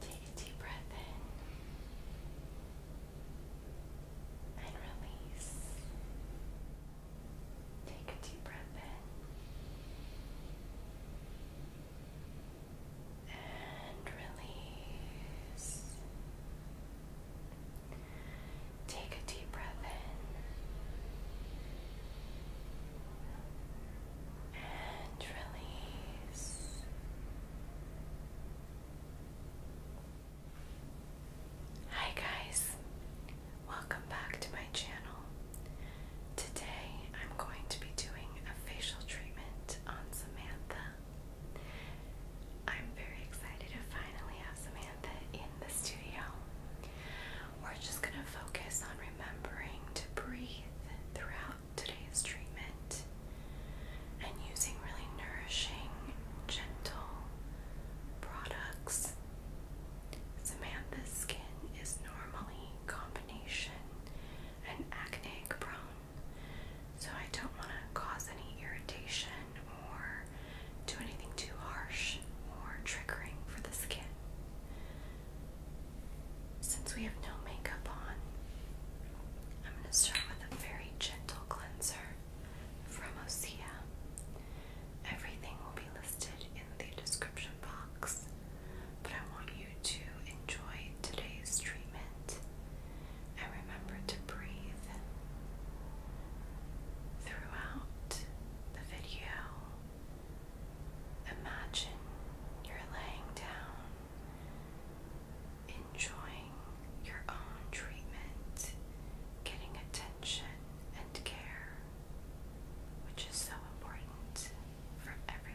Take a deep breath in and release. Take a deep breath in and release. Take a deep breath in and release. Hi guys, welcome back to my channel. Today I'm going to be doing a facial treatment on Samantha. I'm very excited to finally have Samantha in the studio. We're just going to focus on remembering to breathe throughout today's treatment and using really nourishing, gentle, products. Samantha's skin is normally combination and acne prone, so I don't want to cause any irritation or do anything too harsh or triggering for the skin. Since we have no makeup on, I'm going to start with a very gentle cleanser from Osea. Everything will be listed in the description box, but I want you to enjoy today's treatment and remember to breathe throughout the video. Imagine you're laying down, enjoying your own treatment, getting attention attention and care, which is so important for everyone.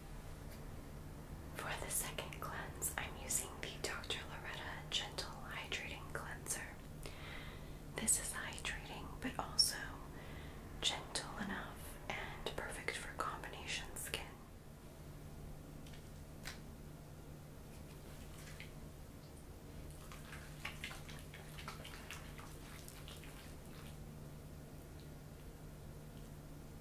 For the second cleanse, I'm using the Dr. Loretta Gentle Hydrating Cleanser. This is hydrating but also gentle enough and perfect for combination skin.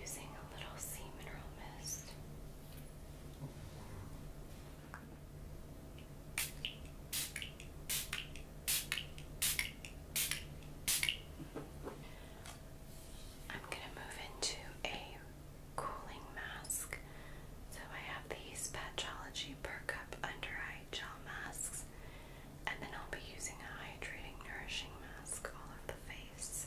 using a little sea mineral mist. I'm going to move into a cooling mask. So I have these Patchology Per Cup Under eye gel masks, and then I'll be using a hydrating, nourishing mask all over the face.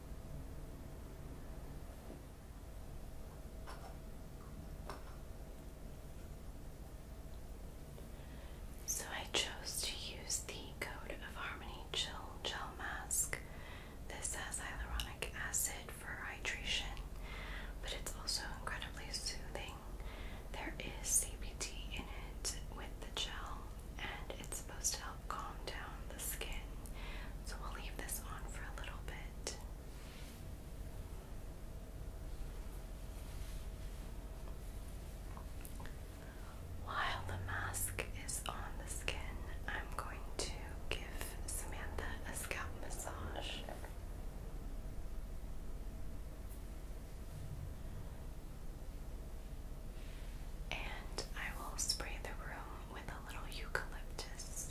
So I chose to use the Code of Harmony Chill Gel Mask. This has hyaluronic acid for hydration, but it's also incredibly soothing. There is CBD in it with the gel, and it's supposed to help calm down the skin. So we'll leave this on for a little bit. While the mask is on the skin, I'm going to give Samantha a scalp massage. And I will spray the room with a little eucalyptus.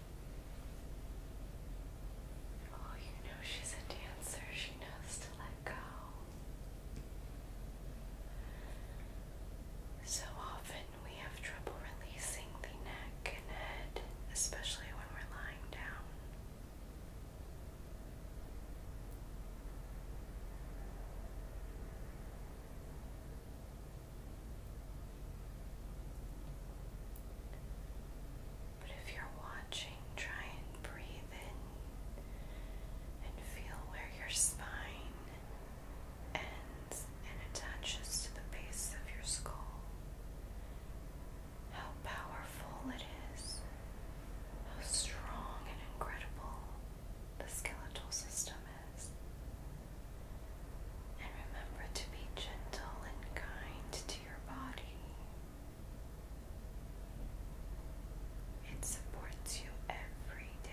Oh, you know she's a dancer. She knows to let go. So often we have trouble releasing the neck and head, especially when we're lying down. But if you're watching, try and breathe in and feel where your spine ends and attaches to the base of your skull. How powerful it is, how strong and incredible the skeletal system is. And remember to be gentle and kind to your body. It supports you every day.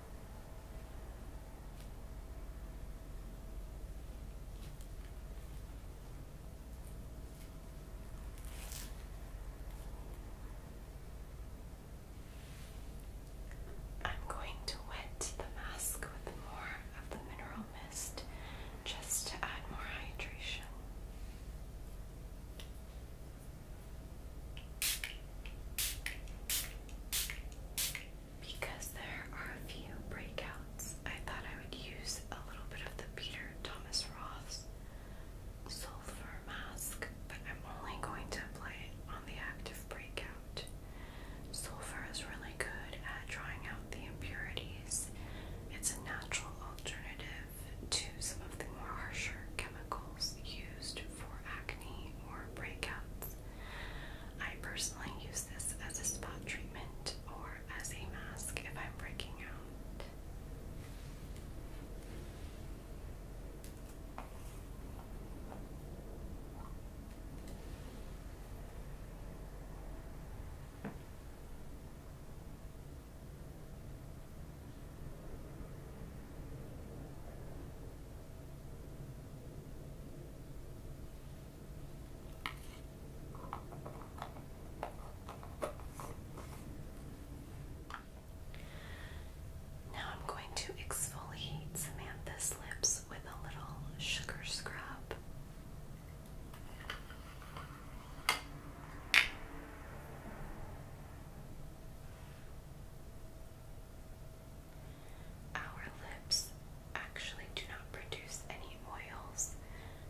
I'm going to wet the mask with more of the mineral mist just to add more hydration. Because there are a few breakouts, I thought I would use a little bit of the Peter Thomas Roth's Sulfur Mask, but I'm only going to apply it on the active breakout. Sulfur is really good at drawing out the impurities. It's a natural alternative to some of the more harsher chemicals used for acne or breakouts. I personally use this as a spot treatment or as a mask if I'm breaking out. Now I'm going to exfoliate Samantha's lips with a little sugar scrub. Our lips actually do not produce any oils,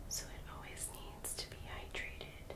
so it always needs to be hydrated.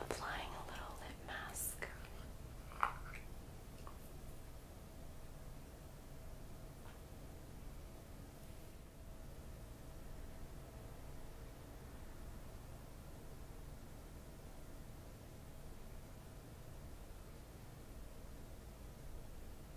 Applying a little lip mask.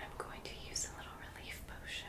I'm going to use a little relief potion.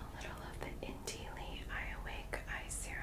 A little of the Inti Awake Eye Serum.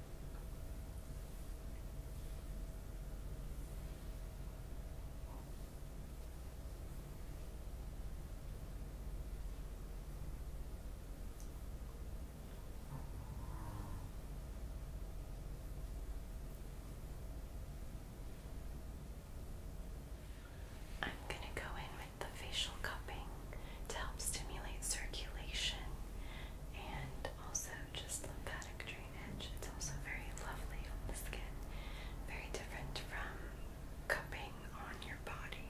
I'm going to go in with the facial cupping to help stimulate circulation and also just lymphatic drainage. It's also very lovely on the skin, very different from cupping on your body.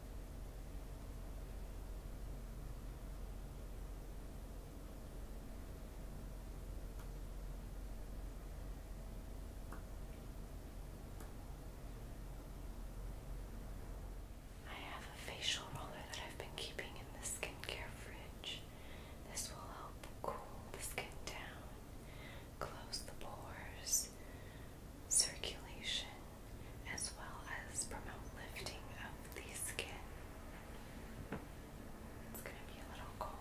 I have a facial roller that I've been keeping in the skincare fridge. This will help cool the skin down, close the pores, circulation, as well as promote lifting of the skin. It's going to be a little cold.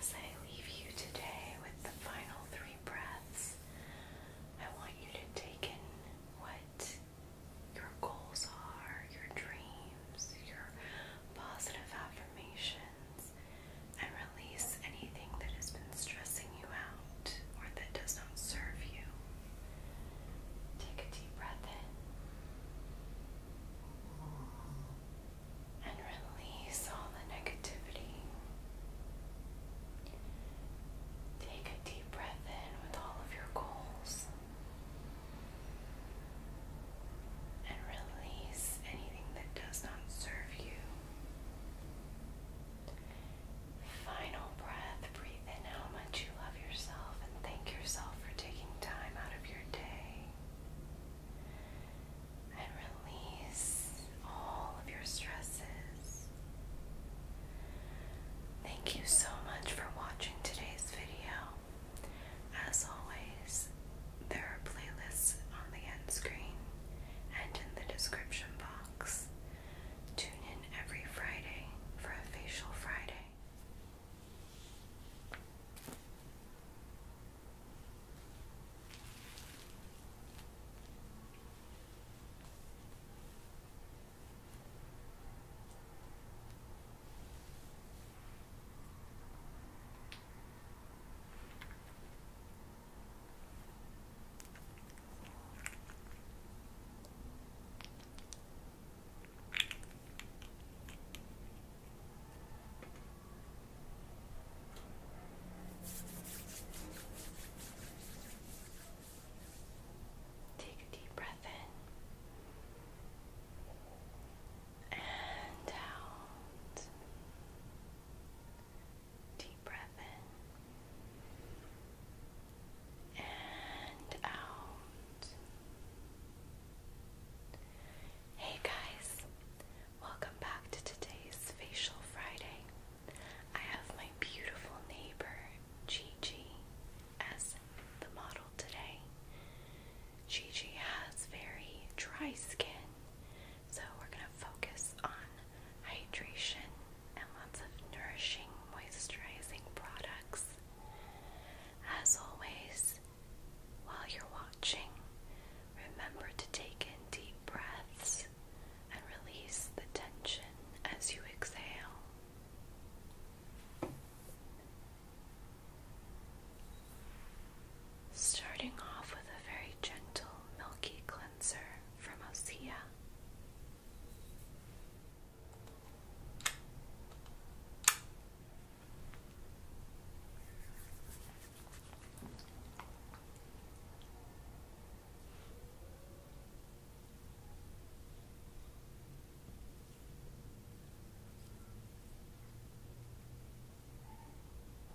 As I leave you today with the final three breaths, I want you to take in what your goals are, your dreams, your positive affirmations, and release anything that has been stressing you out or that does not serve you. Take a deep breath in and release all the negativity. Take a deep breath in with all of your goals and release anything that does not serve you. Final breath, breathe in how much you love yourself and thank yourself for taking time out of your day. And release all of your stresses. Thank you so much for watching today's video. As always, there are playlists on the end screen and in the description box. Tune in every Friday for a Facial Friday. Take a deep breath in and out. Deep breath in and out. Hey guys, welcome back to today's Facial Friday. I have my beautiful neighbor Gigi as the model today. Gigi has very dry skin, so we're going to focus on hydration and lots of nourishing, moisturizing products. As always, while you're watching, remember to take in deep breaths and release the tension as you exhale. Starting off with a very gentle, milky cleanser from Osea.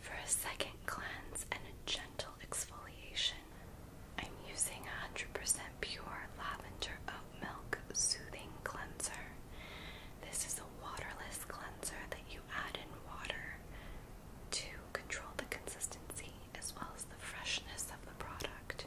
For a second cleanse and a gentle exfoliation, I'm using 100% pure lavender oat milk soothing cleanser. This is a waterless cleanser that you add in water to control the consistency as well as the freshness of the product.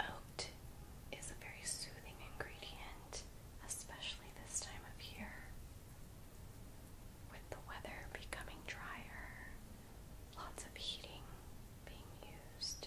Oat is a very soothing ingredient, especially this time of year. With the weather becoming drier lots of heating being used.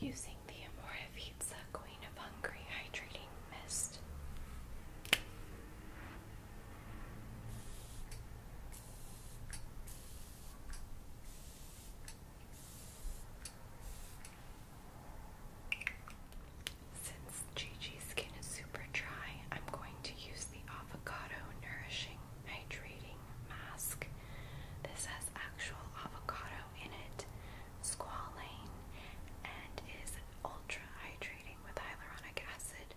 Using the Amora Pizza Queen of Hungry Hydrating Mist. Since Gigi's skin is super dry, I'm going to use the Avocado Nourishing Hydrating Mask. This has actual avocado in it, squalane, and is ultra hydrating with hyaluronic acid.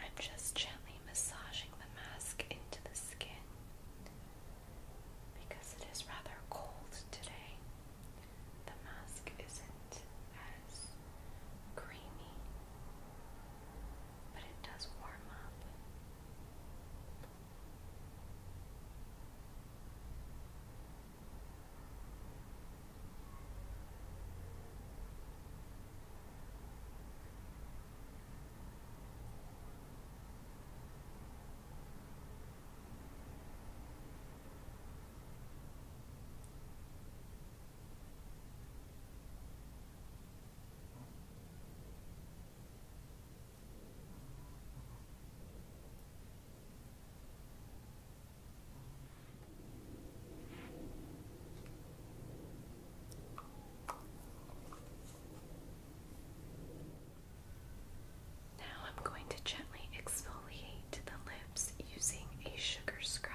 I'm just gently massaging the mask into the skin because it is rather cold today. The mask isn't as creamy, but it does warm up. Now I'm going to gently exfoliate the lips using a sugar scrub.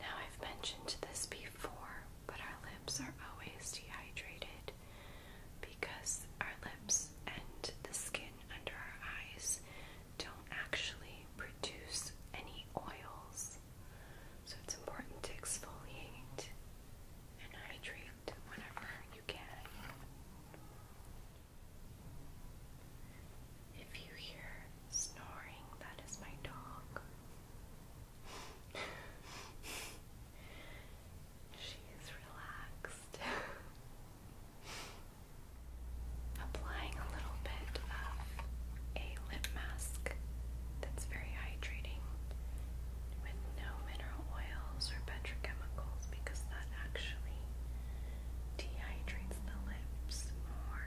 Now, I've mentioned this before, but our lips are always dehydrated because our lips and the skin under our eyes don't actually produce any oils. So, it's important to exfoliate and hydrate whenever you can. If you hear snoring, that is my dog. she is relaxed. Applying a little bit of a lip mask that's very hydrating with no mineral oils or petrochemicals because that actually dehydrates the lips more.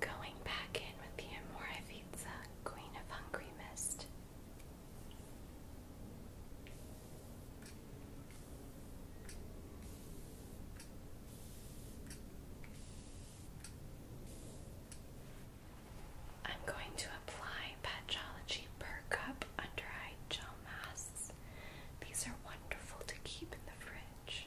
Going back with the Amoravica, Queen of Hungry Mist. I'm going to apply Patrology Perk Up Under Eye Gel Masks. These are wonderful to keep in the fridge.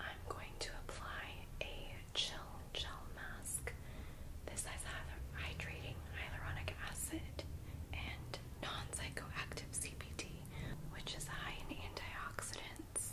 I'm going to apply a chill gel mask. This has hyaluronic acid and non-psychoactive CBD, which is high in antioxidants.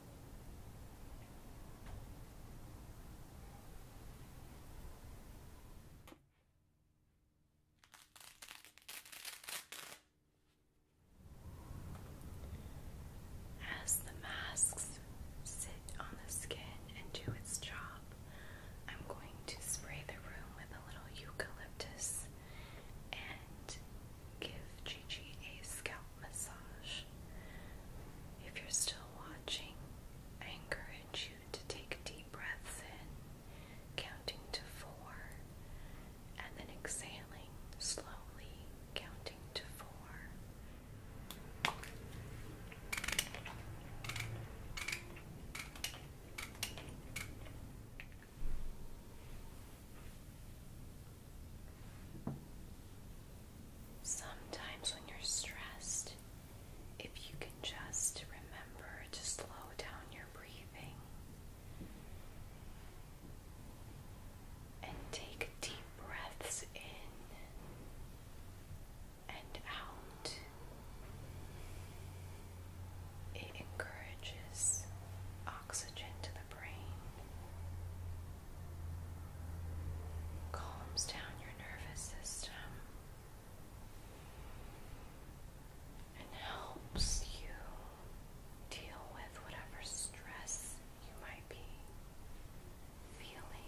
As the masks sit on the skin and do its job, I'm going to spray the room with a little eucalyptus and give Gigi a scalp massage. If you're still watching, I encourage you to take deep breaths in, counting to four, and then exhaling slowly, counting to four. Sometimes when you're stressed, if you can just remember to slow down your breathing and take deep breaths in and out, it encourages oxygen to the brain calms down your nervous system and helps you deal with whatever stress you might be feeling.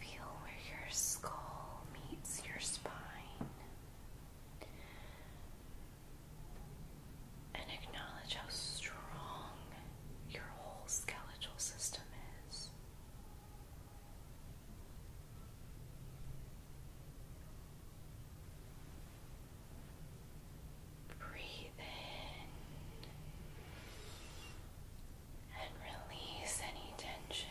Feel where your skull meets your spine. And acknowledge how strong your whole skeletal system is. Breathe in and release any tension.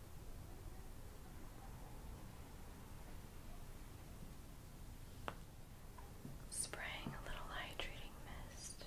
Spraying a little hydrating mist.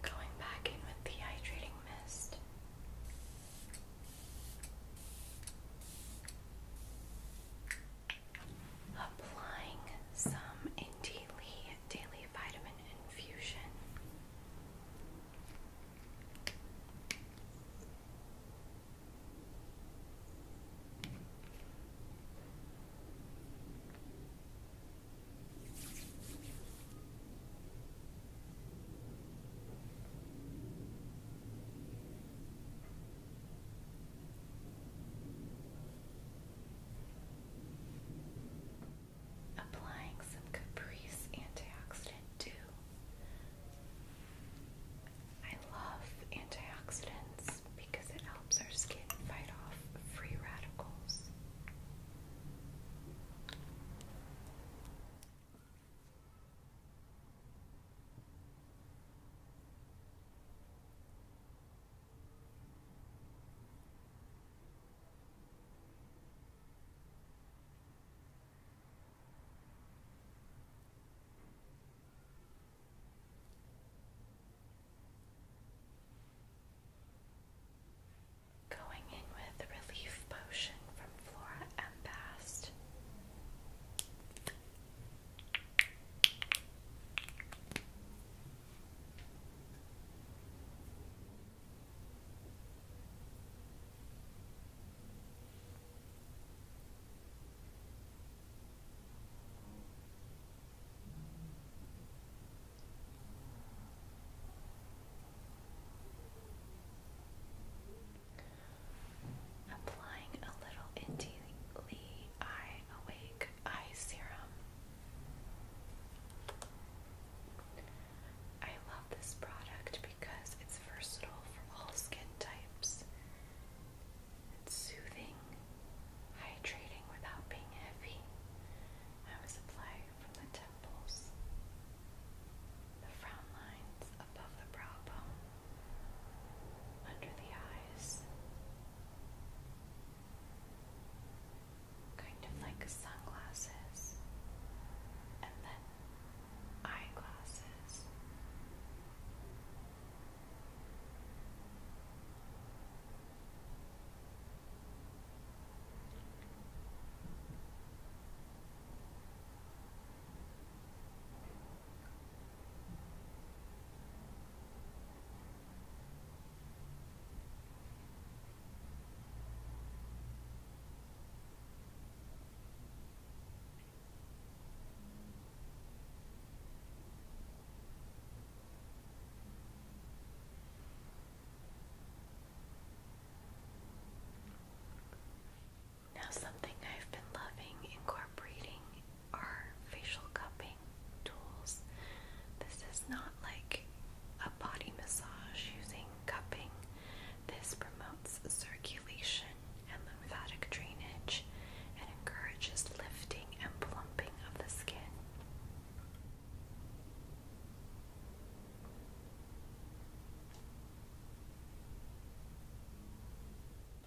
Going back in with the hydrating mist. Applying some Indeedly Daily Vitamin Infusion. Applying some Caprice antioxidant too. I love antioxidants because it helps our skin fight off free radicals. Going in with relief potion from Flora and Applying a little into the eye Staying Awake Eye Serum. I love this product because it's versatile for all skin types. It's soothing, hydrating without being heavy. I was applying from the temples, the frown lines above the brow bone, under the eyes, kind of like sunglasses, and then eyeglasses. Now, something I've been loving incorporating are facial cupping tools. This is not like a body massage using cupping. This promotes circulation and lymphatic drainage and encourages lifting and plumping of the skin.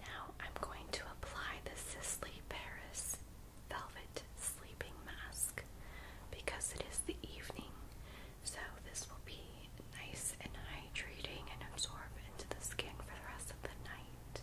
Now I'm going to apply the Sisley Paris Velvet Sleeping Mask because it is the evening, so this will be nice and hydrating and absorb into the skin for the rest of the night.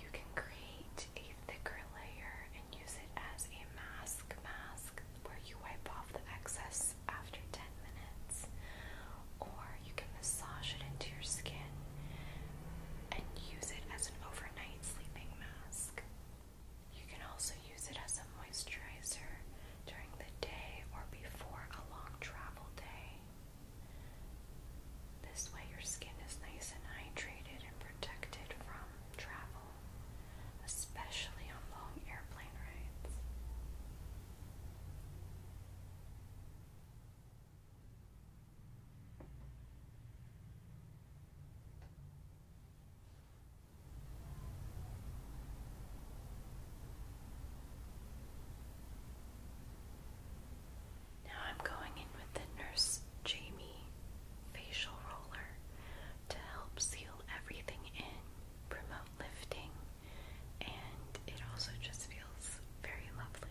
You can create a thicker layer and use it as a mask mask where you wipe off the excess after 10 minutes, or you can massage it into your skin and use it as an overnight sleeping mask. You can also use it as a moisturizer during the day or before a long travel day. This way, your skin is nice and hydrated and protected from travel, especially on long airplane rides. Now I'm going in with the Nurse Jamie facial roller to help seal everything in, promote lifting, and it also just feels very lovely.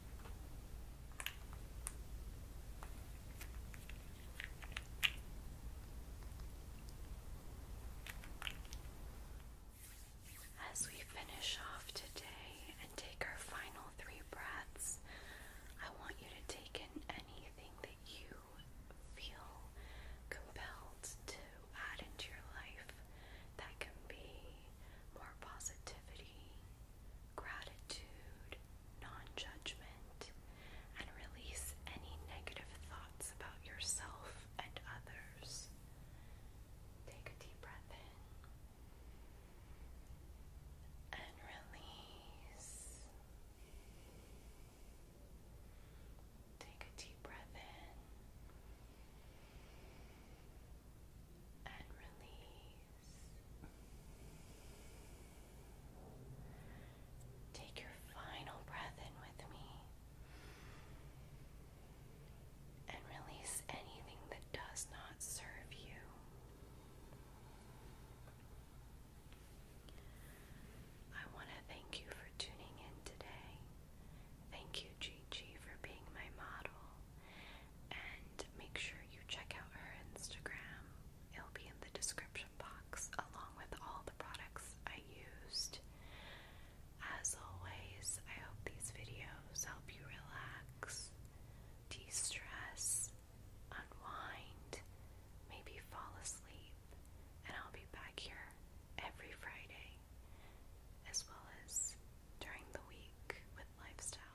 As we finish off today and take our final three breaths, I want you to take in anything that you feel compelled to add into your life. That can be more positivity, gratitude, non judgment, and release any negative thoughts about yourself and others. Take a deep breath in and release. Take a deep breath in and release. Take your final breath in with me and release anything that does not serve you. I want to thank you for tuning in today. Thank you, Gigi, for being my model and make sure you check out her Instagram. It'll be in the description box along with all the products I used. As always, I hope these videos help you relax, de stress, unwind, maybe fall asleep, and I'll be back here every Friday as well as during the week with lifestyle.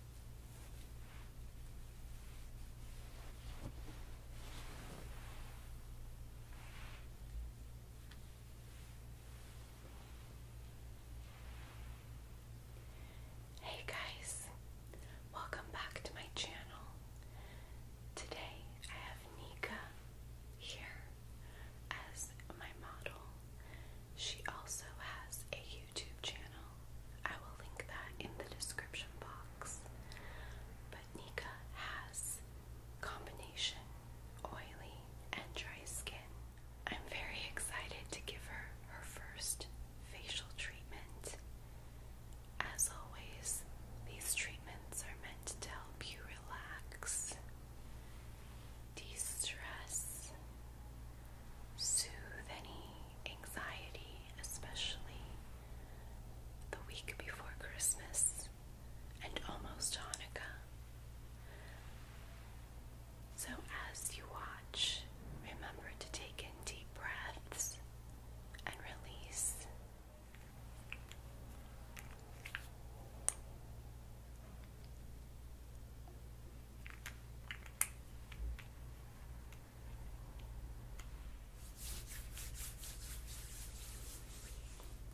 Hey guys, welcome back to my channel. Today I have Nika here as my model. She also has a YouTube channel I will link that in the description box. But Nika has combination oily and dry skin. I'm very excited to give her her first facial treatment. As always, these treatments are meant to help you relax, de stress, soothe any anxiety, especially the week before Christmas and almost Hanukkah. So, as you watch, remember to take in deep breaths and release.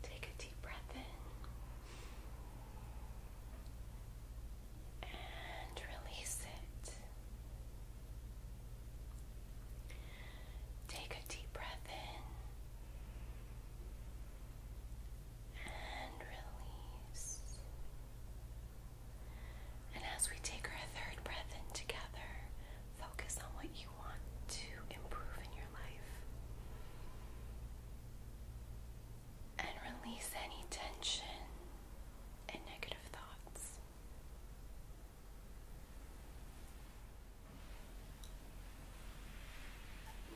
Take a deep breath in and release it. Take a deep breath in and release. And as we take our third breath in together, focus on what you want to improve in your life. And release any tension and negative thoughts.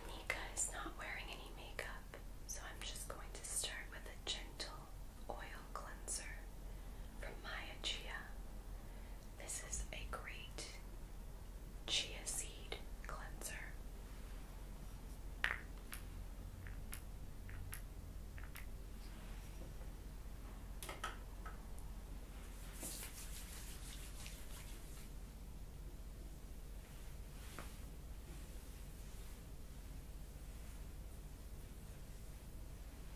Nika is not wearing any makeup, so I'm just going to start with a gentle Oil Cleanser from Maya Chia. This is a great chia seed cleanser.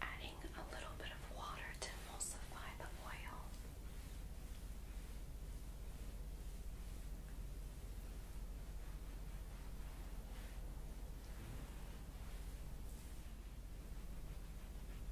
Adding a little bit of water to emulsify the oil.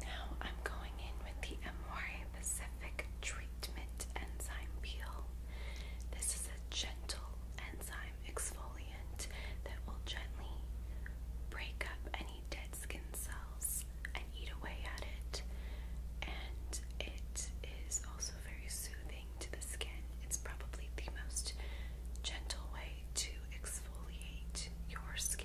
Now I'm going in with the Amore treatment enzyme peel. This is a gentle enzyme exfoliant that will gently break up any dead skin cells and eat away at it. And it is also very soothing to the skin. It's probably the most gentle way to exfoliate your skin.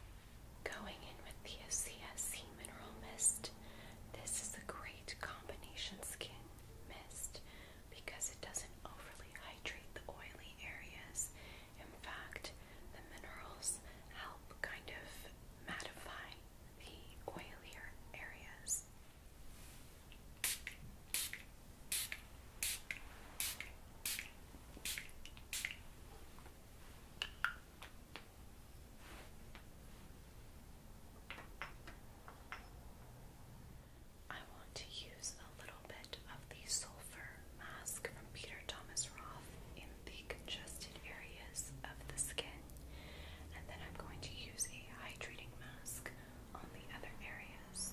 Going in with the OCSC Mineral Mist, this is a great combination skin mist because it doesn't overly hydrate the oily areas. In fact, the minerals help kind of mattify the oilier areas. I want to use a little bit of the sulfur mask from Peter Thomas Roth in the congested areas of the skin, and then I'm going to use a hydrating mask on the other areas.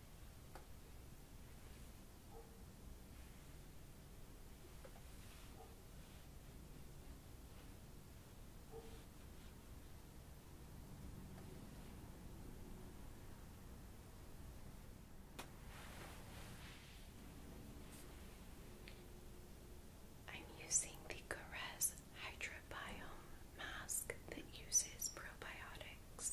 I'm using the Caress Hydrobiome mask that uses probiotics.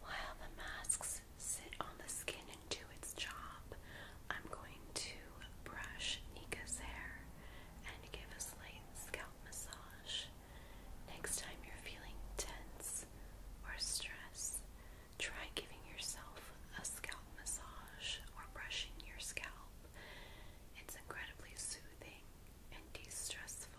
While the masks sit on the skin and do its job, I'm going to brush Nika's hair and give a slight scalp massage. Next time you're feeling tense or stressed, Try giving yourself a scalp massage or brushing your scalp. It's incredibly soothing and de stressful.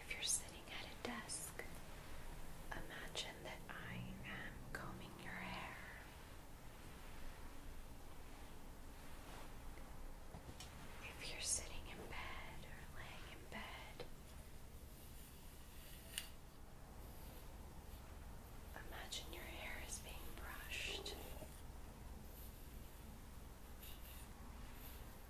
If you're sitting at a desk, imagine that I am combing your hair. If you're sitting in bed or laying in bed, imagine your hair is being brushed.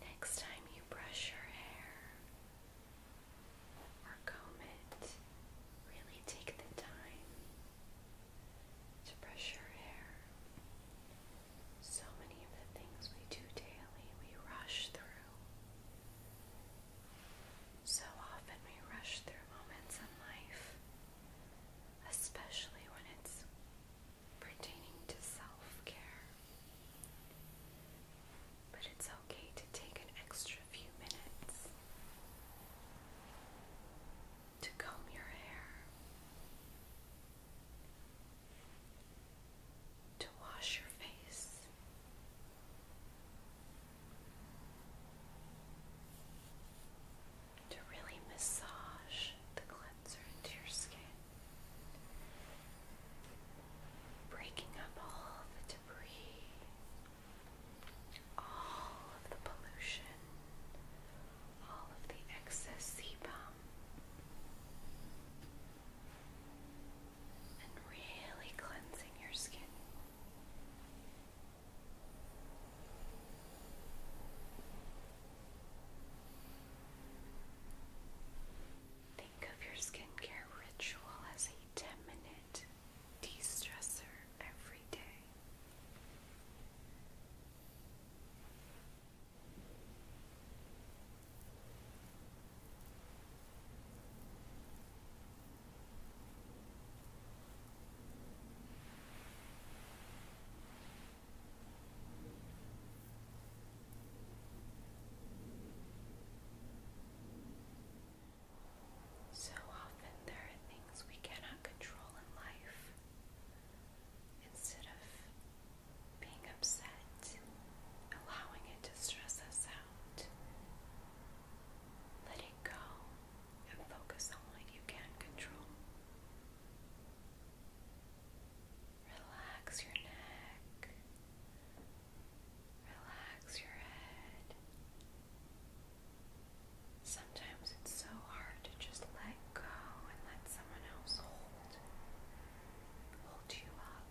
Next time you brush your hair or comb it, really take the time to brush your hair so many of the things we do daily we rush through. So often we rush through moments in life, especially when it's pertaining to self care. But it's okay to take an extra few minutes to comb your hair, to wash your face. To really massage the cleanser into your skin, breaking up all the debris, all of the pollution, all of the excess sebum and really cleansing your skin. Think of your skincare ritual as a 10 minute de stressor every day. So often there are things we cannot control in life. Instead of being upset, allowing it to stress us out. Let it go and focus on what you can control. Relax your neck, relax your head. Sometimes it's so hard to just let go and let someone else hold hold you up.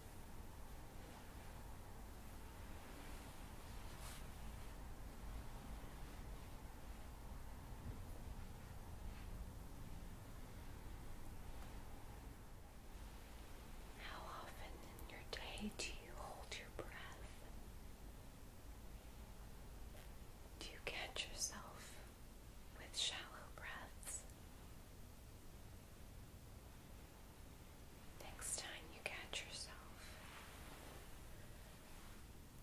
How often in your day do you hold your breath? Do you catch yourself with shallow breaths? Next time you catch yourself,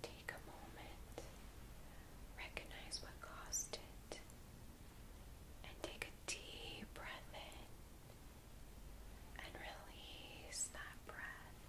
take a moment, recognize what caused it, and take a deep breath in and release that breath.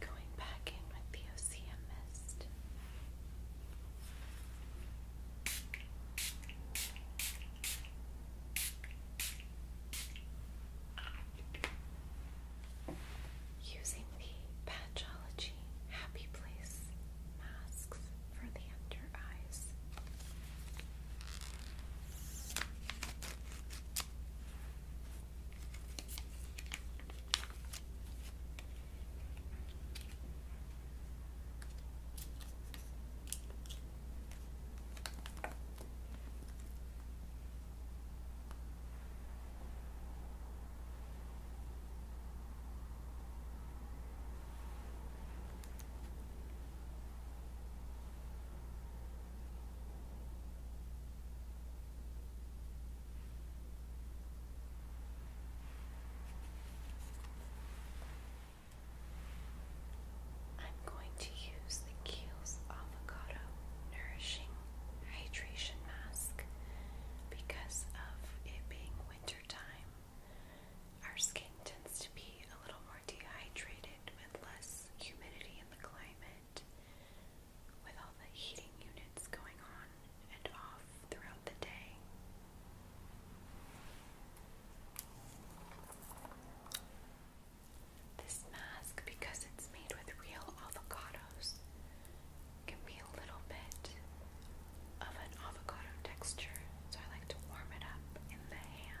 Going back in with the Ocean Mist. Just Using the Patchology Happy Place masks for the under eyes. I'm going to use the Kiehl's Avocado Nourishing hydration mask because of it being wintertime, Our skin tends to be a little more dehydrated with less humidity in the climate, with all the heating units going on and off throughout the day. This mask, because it's made with real avocados, can be a little bit of an avocado texture, so I like to warm it up in the hands.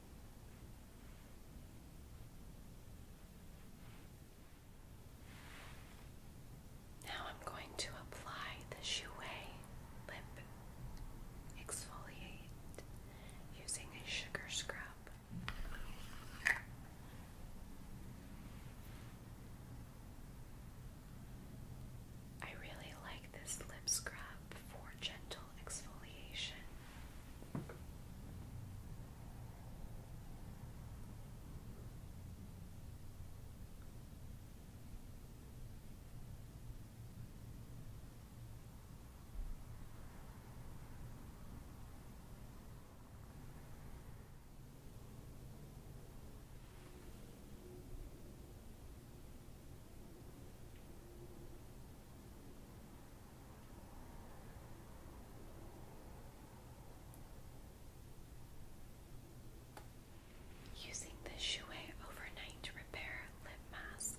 Now I'm going to apply the Jouer Lip Exfoliate using a sugar scrub. I really like this lip scrub up for gentle exfoliation. Using the Jouer Overnight Repair Lip Mask.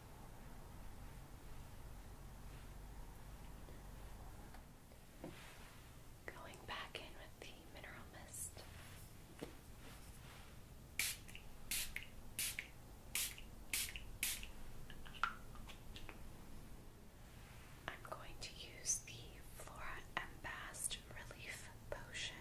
Going back in with the mineral mist. I'm going to use the Flora Embassed Relief Potion.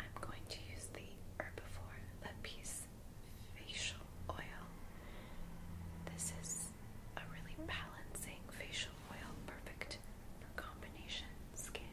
I'm going to use the Herbivore Lip Piece Facial Oil. This is a really balancing facial oil, perfect for combination skin.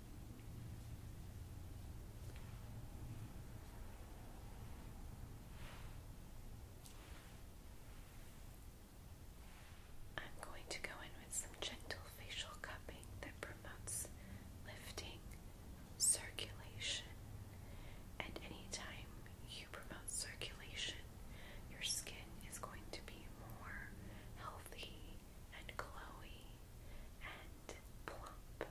I'm going to go in with some gentle facial cupping that promotes lifting, circulation, and anytime you promote circulation, your skin is going to be more healthy and glowy and plump.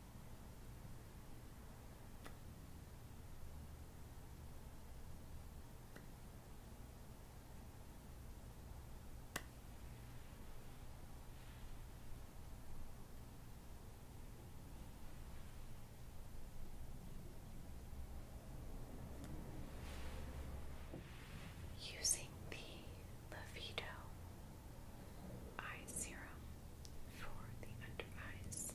Using the Levito eye serum for the under eyes.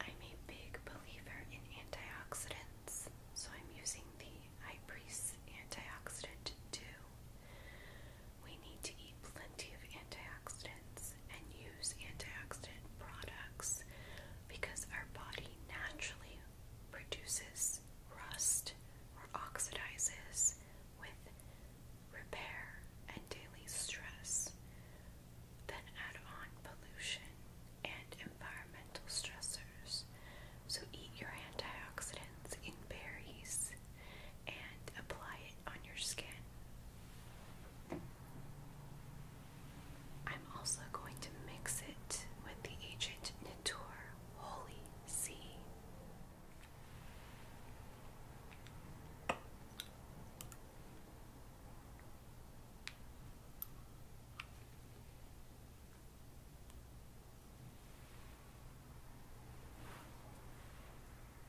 I'm a big believer in antioxidants, so I'm using the High Priest antioxidant 2 we need to eat plenty of antioxidants and use antioxidant products because our body naturally produces rust or oxidizes with repair and daily stress. Then add on pollution and environmental stressors. So eat your antioxidants in berries, and apply it on your skin. I'm also going to mix it with the Agent Natur Holy Sea.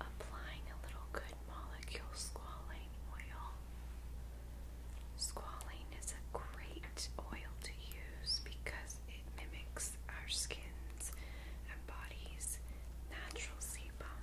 Applying a little good molecule squalane oil. Squalane is a great oil to use because it mimics our skins and body's natural sebum.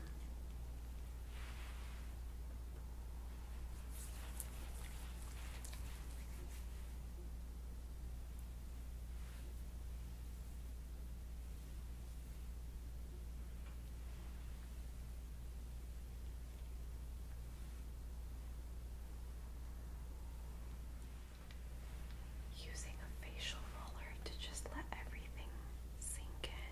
Using a facial roller to just let everything sink in.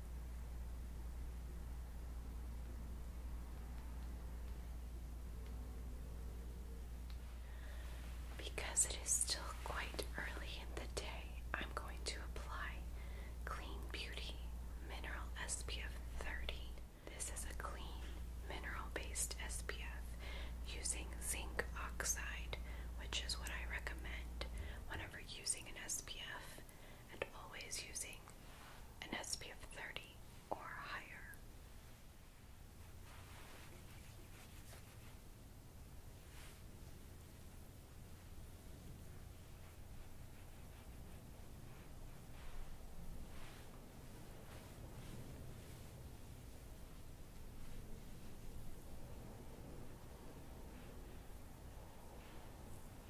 Because it is still quite early in the day, I'm going to apply Clean Beauty Mineral SPF 30. This is a clean mineral based SPF using zinc oxide, which is what I recommend whenever using an SPF and always using an SPF 30 or higher.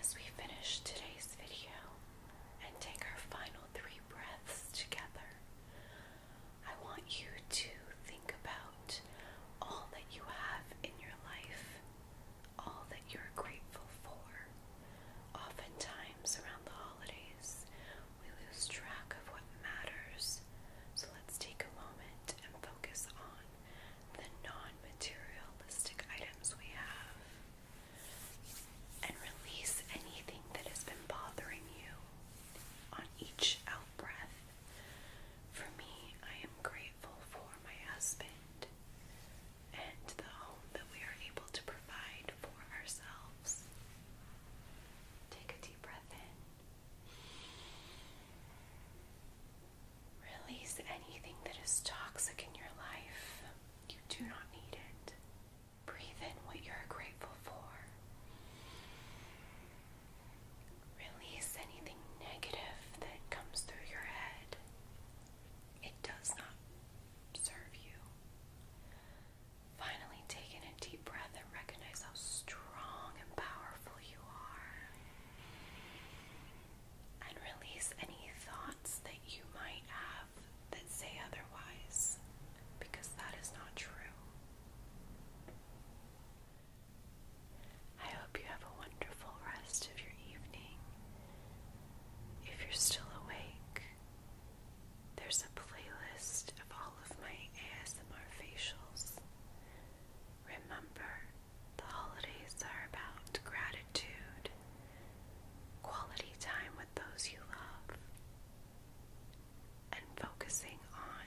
As we finish today's video and take our final three breaths together, I want you to think about all that you have in your life, all that you're grateful for. Oftentimes, around the holidays, we lose track of what matters. So let's take a moment and focus on the non materialistic items we have and release anything that has been bothering you on each out breath. For me, I am grateful for my husband and the home that we are able to provide for ourselves. Take a deep breath in. Release anything that is toxic in your life. You do not need it. Breathe in what you're grateful for. Release anything negative that comes through your head. It does not serve you. Finally, take a deep breath and recognize how strong and powerful you are. And release any thoughts that you might have that say otherwise, because that is not true. I hope you have a wonderful rest of your evening. If you're still awake, there's a playlist of all of my ASMR facials. Remember, the holidays are about gratitude, quality time with those you love, and focusing on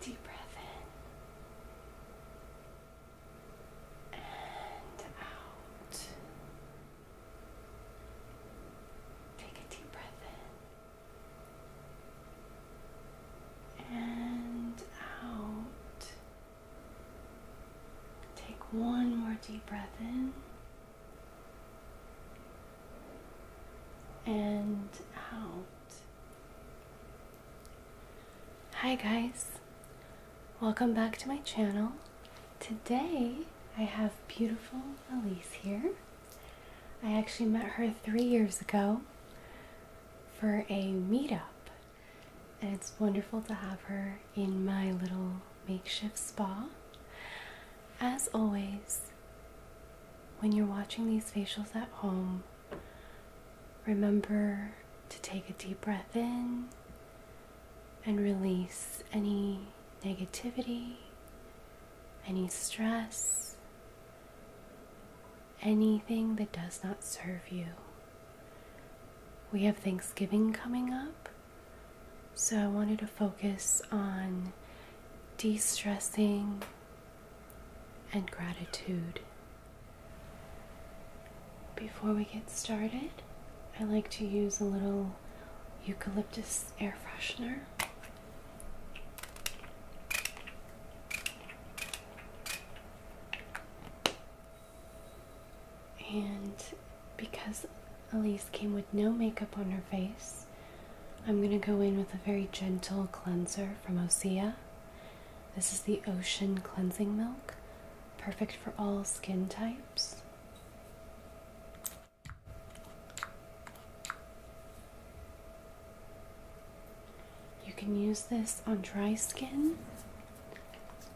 Take a deep breath in and out. Take a deep breath in and out. Take one more deep breath in and out. Hi guys, welcome back to my channel. Today I have beautiful Elise here. I actually met her three years ago for a meetup, and it's wonderful to have her in my little makeshift spa. As always, when you're watching these facials at home, remember to take a deep breath in and release any negativity, any stress, anything that does not serve you. We have Thanksgiving coming up, so I wanted to focus on de stressing and gratitude. Before we get started, I like to use a little eucalyptus air freshener. And because Elise came with no makeup on her face, I'm going to go in with a very gentle cleanser from Osea. This is the Ocean Cleansing Milk, perfect for all skin types. You can use this on dry skin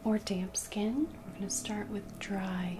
or damp skin. We're going to start with dry.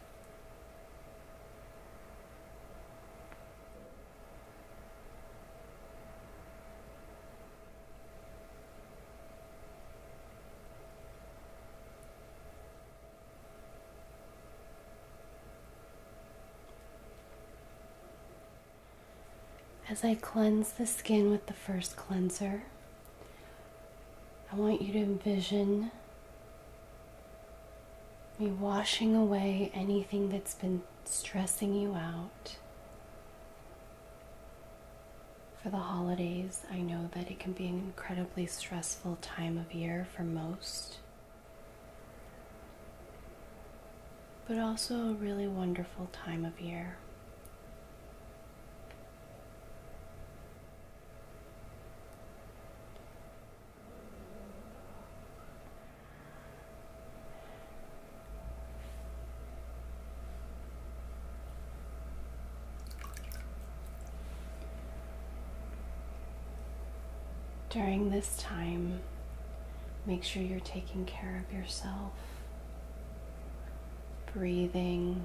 As I cleanse the skin with the first cleanser, I want you to envision me washing away anything that's been stressing you out. For the holidays, I know that it can be an incredibly stressful time of year for most, but also a really wonderful time of year. During this time, make sure you're taking care of yourself, breathing,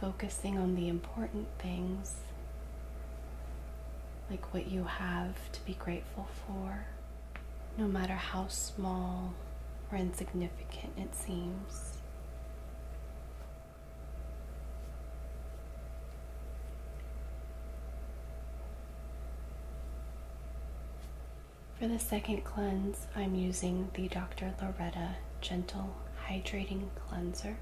focusing on the important things, like what you have to be grateful for, no matter how small or insignificant it seems. For the second cleanse, I'm using the Dr. Loretta gentle hydrating cleanser.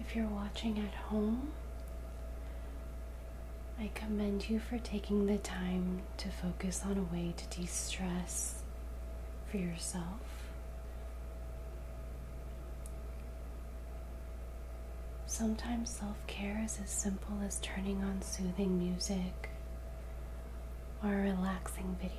If you're watching at home, I commend you for taking the time to focus on a way to de stress for yourself. Sometimes self care is as simple as turning on soothing music or a relaxing video.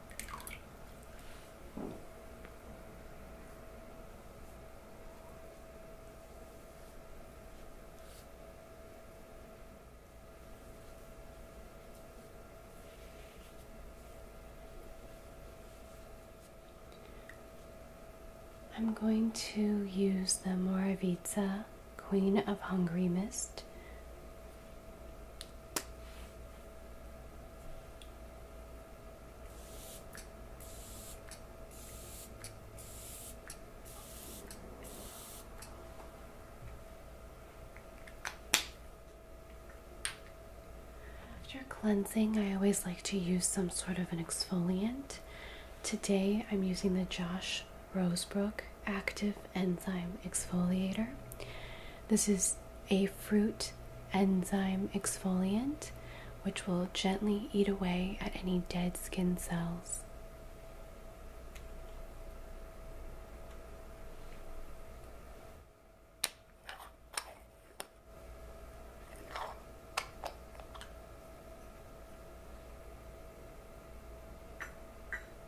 I'm going to use the Moravica Queen of Hungry Mist after cleansing, I always like to use some sort of an exfoliant. Today, I'm using the Josh Rosebrook active enzyme exfoliator. This is a fruit enzyme exfoliant which will gently eat away at any dead skin cells.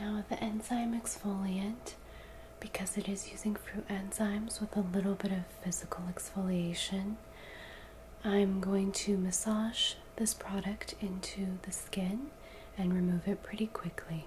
Now with the enzyme exfoliant, because it is using fruit enzymes with a little bit of physical exfoliation, I'm going to massage this product into the skin and remove it pretty quickly.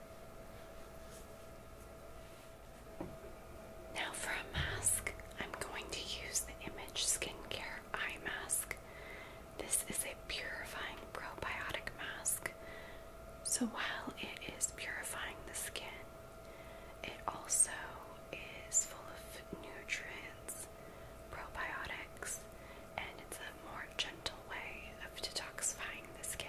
Now for a mask, I'm going to use the Image Skincare Eye Mask. This is a purifying probiotic mask. So while it is purifying the skin, it also is full of nutrients, probiotics, and it's a more gentle way of detoxifying the skin.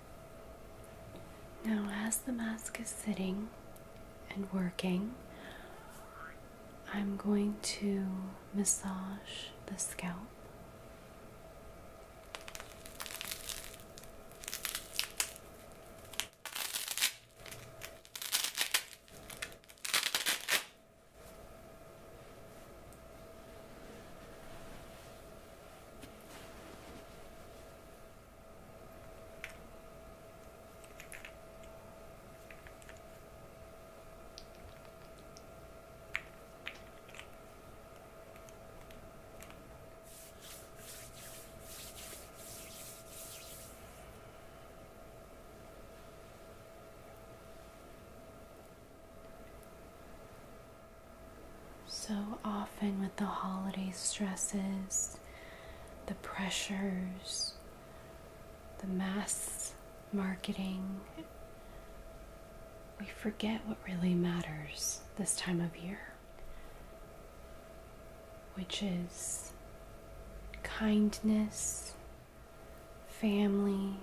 Now, as the mask is sitting and working, I'm going to massage the scalp. So often, with the holiday stresses, the pressures, the mass marketing. We forget what really matters this time of year, which is kindness, family,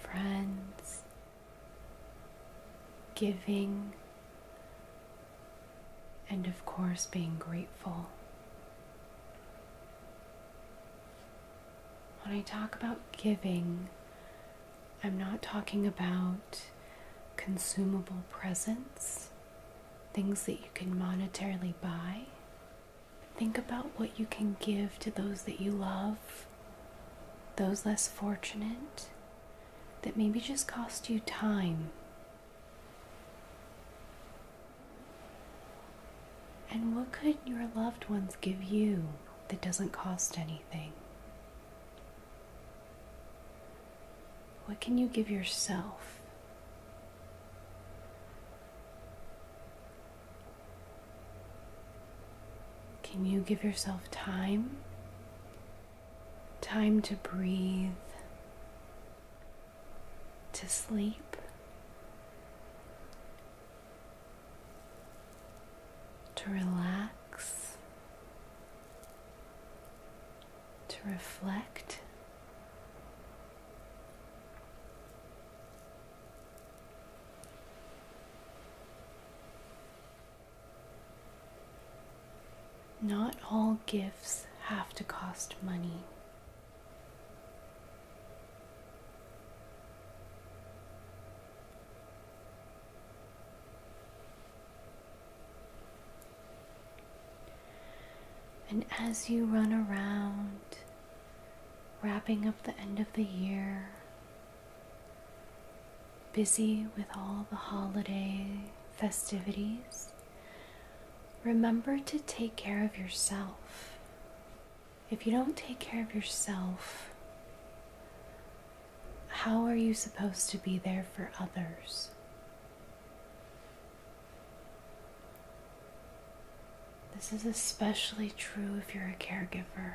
friends, giving, and of course, being grateful. When I talk about giving, I'm not talking about consumable presents, things that you can monetarily buy. Think about what you can give to those that you love, those less fortunate, that maybe just cost you time. And what could your loved ones give you that doesn't cost anything? What can you give yourself? Can you give yourself time time to breathe, to sleep, to relax, to reflect. Not all gifts have to cost money. And as you run around, wrapping up the end of the year, busy with all the holiday festivities, remember to take care of yourself. If you don't take care of yourself, how are you supposed to be there for others? This is especially true if you're a caregiver.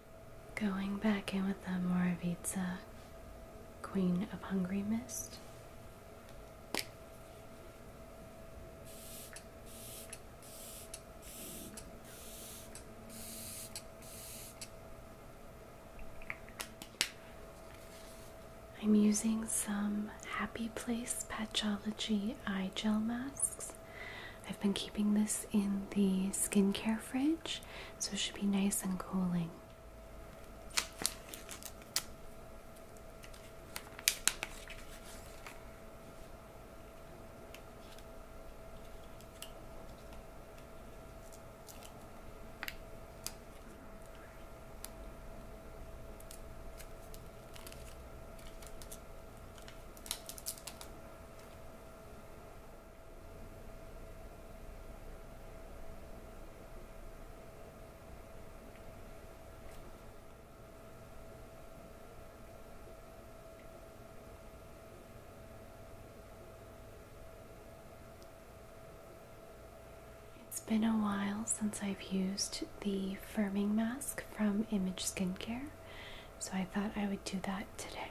Going back in with the Moravitsa Queen of Hungry Mist. I'm using some Happy Place Patchology eye gel masks I've been keeping this in the skincare fridge, so it should be nice and cooling. It's been a while since I've used the firming mask from Image Skincare, so I thought I would do that today.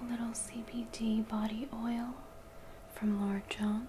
A little CBD body oil from Lord Jones.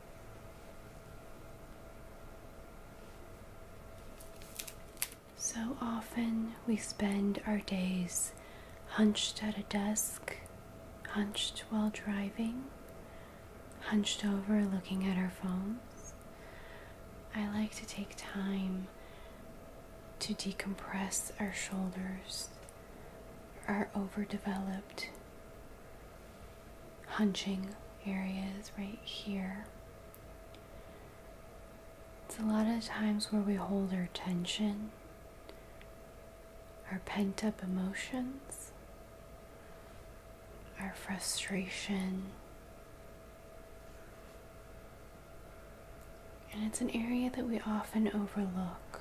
So often we spend our days hunched at a desk, hunched while driving, hunched over looking at our phones. I like to take time to decompress our shoulders, are overdeveloped, hunching areas right here. It's a lot of times where we hold our tension, our pent up emotions, our frustration. And it's an area that we often overlook.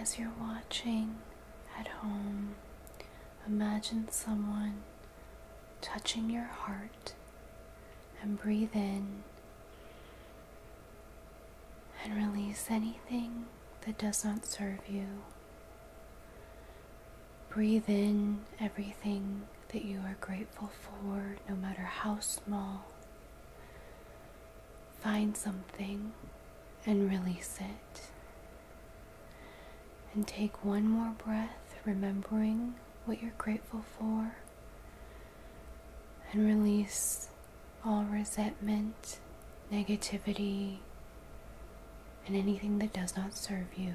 As you're watching at home, imagine someone touching your heart and breathe in and release anything that does not serve you. Breathe in everything that you are grateful for, no matter how small. Find something and release it. And take one more breath, remembering what you're grateful for, and release all resentment, negativity, and anything that does not serve you.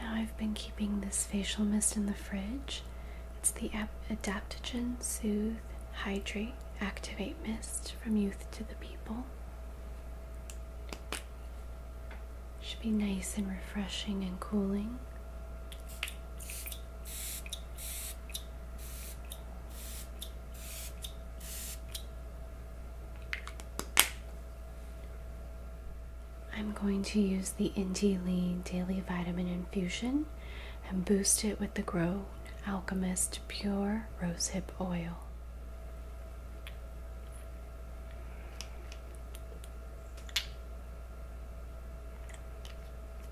Now I've been keeping this facial mist in the fridge. It's the Adaptogen Soothe Hydrate Activate Mist from Youth to the People. Should be nice and refreshing and cooling. I'm going to use the Indie Lee Daily Vitamin Infusion and boost it with the Grown Alchemist Pure Rosehip Oil.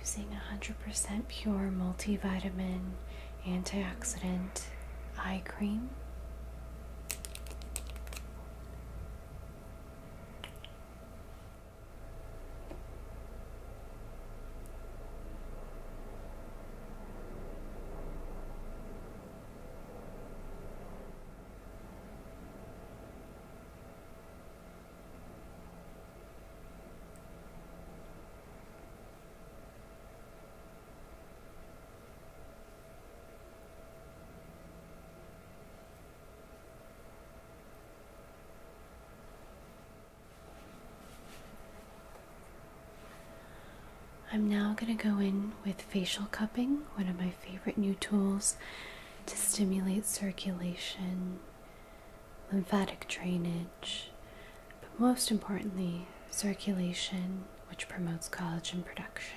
Using 100% pure multivitamin antioxidant eye cream. I'm now going to go in with facial cupping, one of my favorite new tools to stimulate circulation, lymphatic drainage, but most importantly, circulation, which promotes collagen production.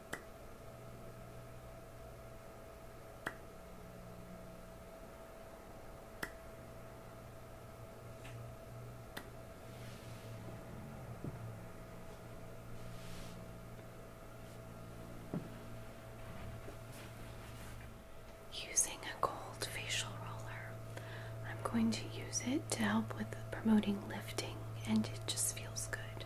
Using a gold facial roller, I'm going to use it to help with promoting lifting, and it just feels good.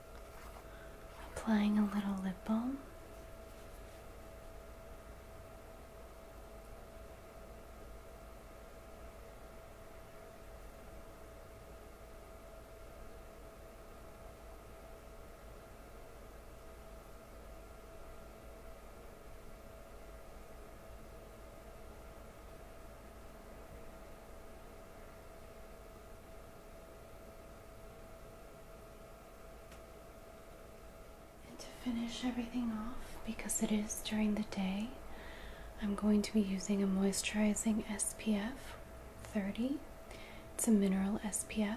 Applying a little lip balm. And to finish everything off, because it is during the day, I'm going to be using a moisturizing SPF 30. It's a mineral SPF.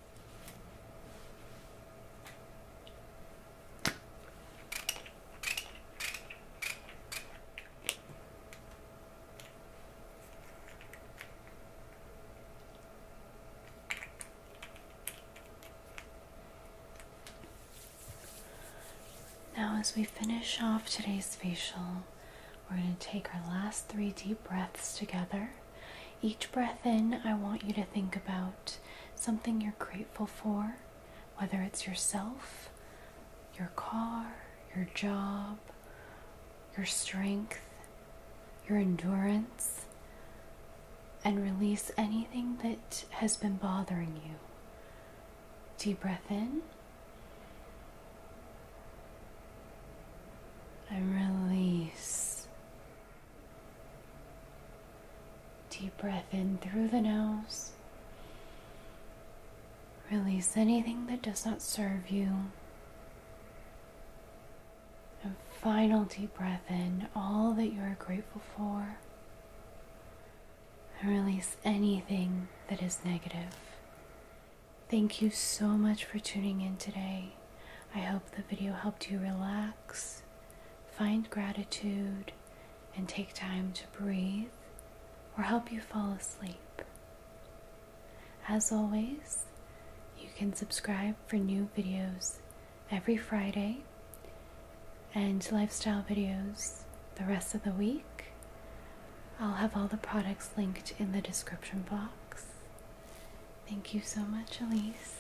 Now, as we finish off today's facial, we're going to take our last three deep breaths together each breath in, I want you to think about something you're grateful for, whether it's yourself, your car, your job, your strength, your endurance, and release anything that has been bothering you. Deep breath in. And release. Deep breath in through the nose. Release anything that does not serve you. And final deep breath in all that you are grateful for. And release anything that is negative. Thank you so much for tuning in today. I hope the video helped you relax Find gratitude and take time to breathe or help you fall asleep. As always, you can subscribe for new videos every Friday and lifestyle videos the rest of the week. I'll have all the products linked in the description box. Thank you so much, Elise.